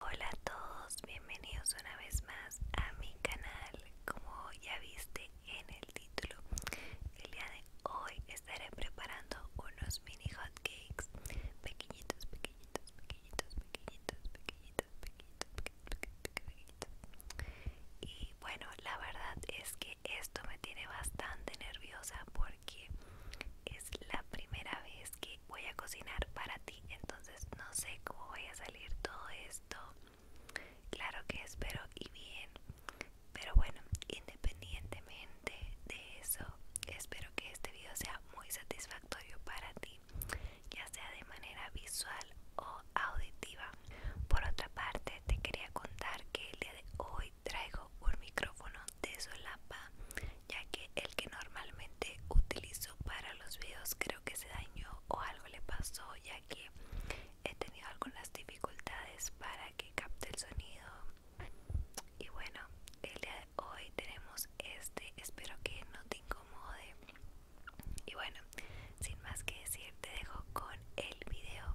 Hola a todos, bienvenidos una vez más a mi canal. Como ya viste en el título, el día de hoy estaré preparando unos mini hot cakes pequeñitos, pequeñitos, pequeñitos, pequeñitos, pequeñitos, pequeñitos, pequeñitos. Y bueno, la verdad es que esto me tiene bastante nerviosa porque es la primera vez que voy a cocinar para ti. Entonces no sé cómo vaya a salir todo esto. Claro que espero y bien. Pero bueno, independientemente de eso, espero que este video sea muy satisfactorio para ti, ya sea de manera visual o auditiva. Por otra parte, te quería contar que el día de hoy traigo un micrófono de solapa ya que el que normalmente utilizo para los videos creo que se dañó o algo le pasó ya que he tenido algunas dificultades para que capte el sonido y bueno el día de hoy tenemos este espero que no te incomode y bueno sin más que decir te dejo con el video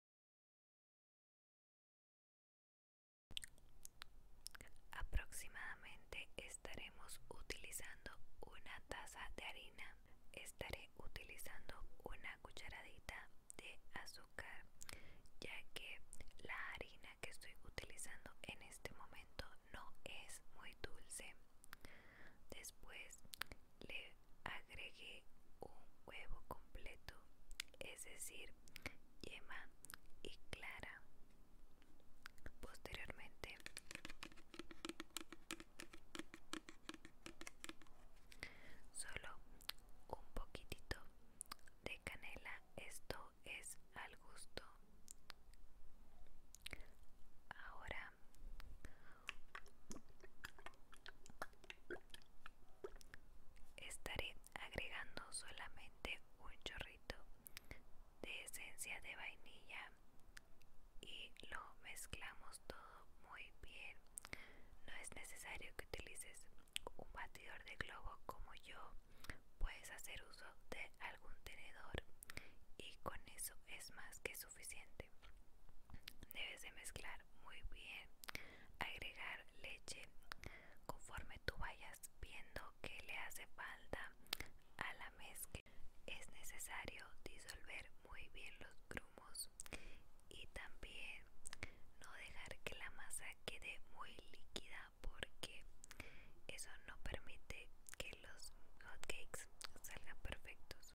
Aproximadamente estaremos utilizando una taza de harina. Estaré utilizando una cucharadita de azúcar ya que la harina que estoy utilizando en este momento no es muy dulce. Después le agregué un huevo completo, es decir, yema y clara. Posteriormente solo un poquitito de canela, esto es al gusto. Ahora Estaré agregando solamente un chorrito de esencia de vainilla y lo mezclamos todo muy bien. No es necesario que utilices un batidor de globo como yo. Puedes hacer uso de algún tenedor y con eso es más que suficiente. Debes de mezclar muy bien agregar leche conforme tú vayas viendo que le hace falta a la mezcla es necesario disolver muy bien los grumos y también no dejar que la masa quede muy líquida porque eso no permite que los hotcakes salgan perfectos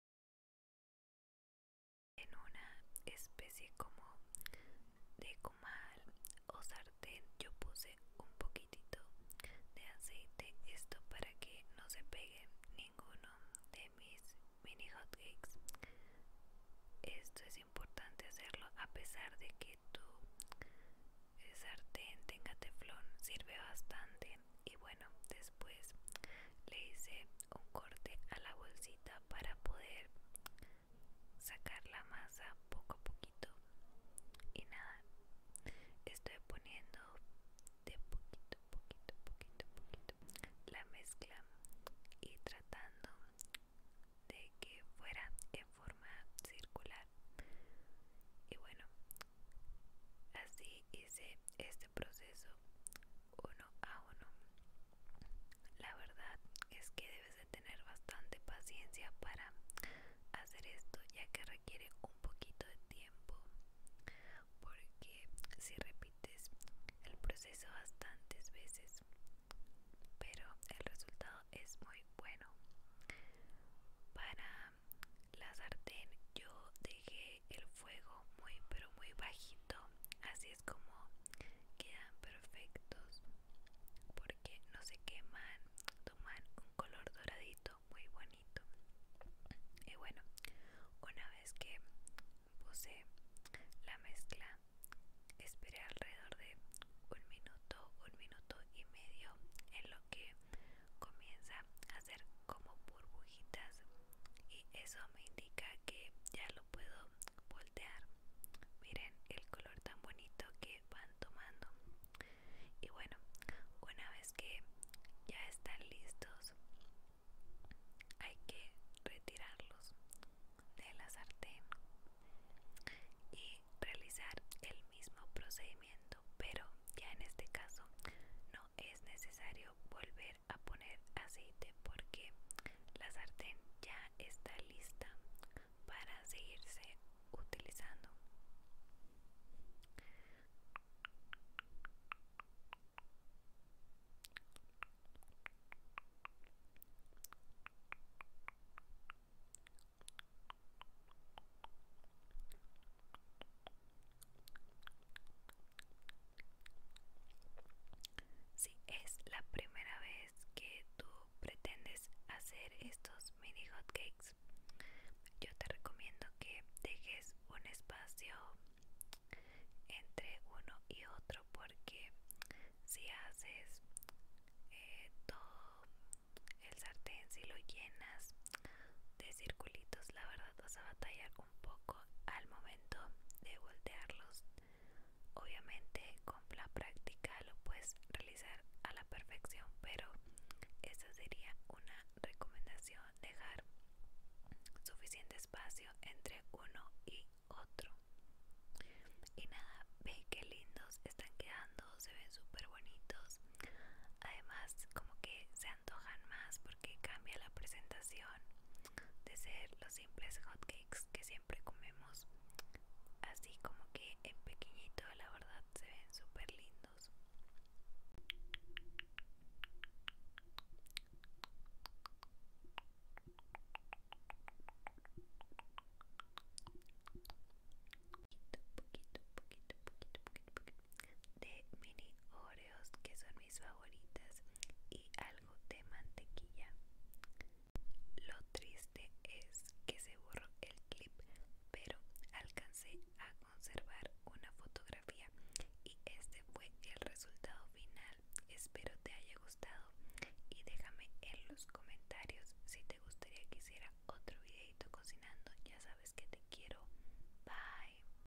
en una especie como de comal o sartén yo puse un poquitito de aceite esto para que no se pegue ninguno de mis mini hotcakes esto es importante hacerlo a pesar de que tu sartén tenga teflón sirve bastante y bueno después le hice un corte a la bolsita para poder sacar la masa poco a poquito y nada estoy poniendo de poquito poquito poquito poquito la mezcla y tratando de que fuera en forma circular y bueno así hice este proceso uno a uno la verdad es que debes de tener bastante paciencia para hacer esto ya que requiere un poquito de tiempo porque si repites el proceso bastantes veces pero el resultado es muy bueno para la sartén yo dejé el fuego muy pero muy bajito así como quedan perfectos porque no se queman toman un color doradito muy bonito y bueno una vez que puse la mezcla esperé alrededor de un minuto un minuto y medio en lo que comienza a hacer como burbujitas y eso me indica que ya lo puedo voltear miren el color tan bonito que van tomando y bueno una vez que ya están listos hay que retirarlos de la sartén y realizar el mismo procedimiento pero ya en este caso no es necesario volver a poner aceite porque la sartén ya está lista para seguirse utilizando si es la primera vez que tú pretendes hacer estos mini hotcakes, yo te recomiendo que dejes un espacio entre uno y otro porque si haces eh, todo el sartén, si lo llenas de circulitos, la verdad vas a batallar un poco al momento de voltearlos. Obviamente con la práctica lo puedes realizar a la perfección, pero esa sería una recomendación, dejar suficiente espacio entre uno y otro. Y nada, ve que lindos están quedando, se ven súper bonitos. Además, como que se antojan más porque cambia la presentación de ser los simples hotcakes que siempre comemos así como que en pequeñito la verdad se ven súper lindos poquito poquito poquito poquito de mini ore que son mis favoritas y algo de mantequilla. Lo triste es que se borró el clip, pero alcancé a conservar una fotografía y este fue el resultado final. Espero te haya gustado y déjame en los comentarios si te gustaría que hiciera otro videito cocinando. Ya sabes que te quiero. Bye.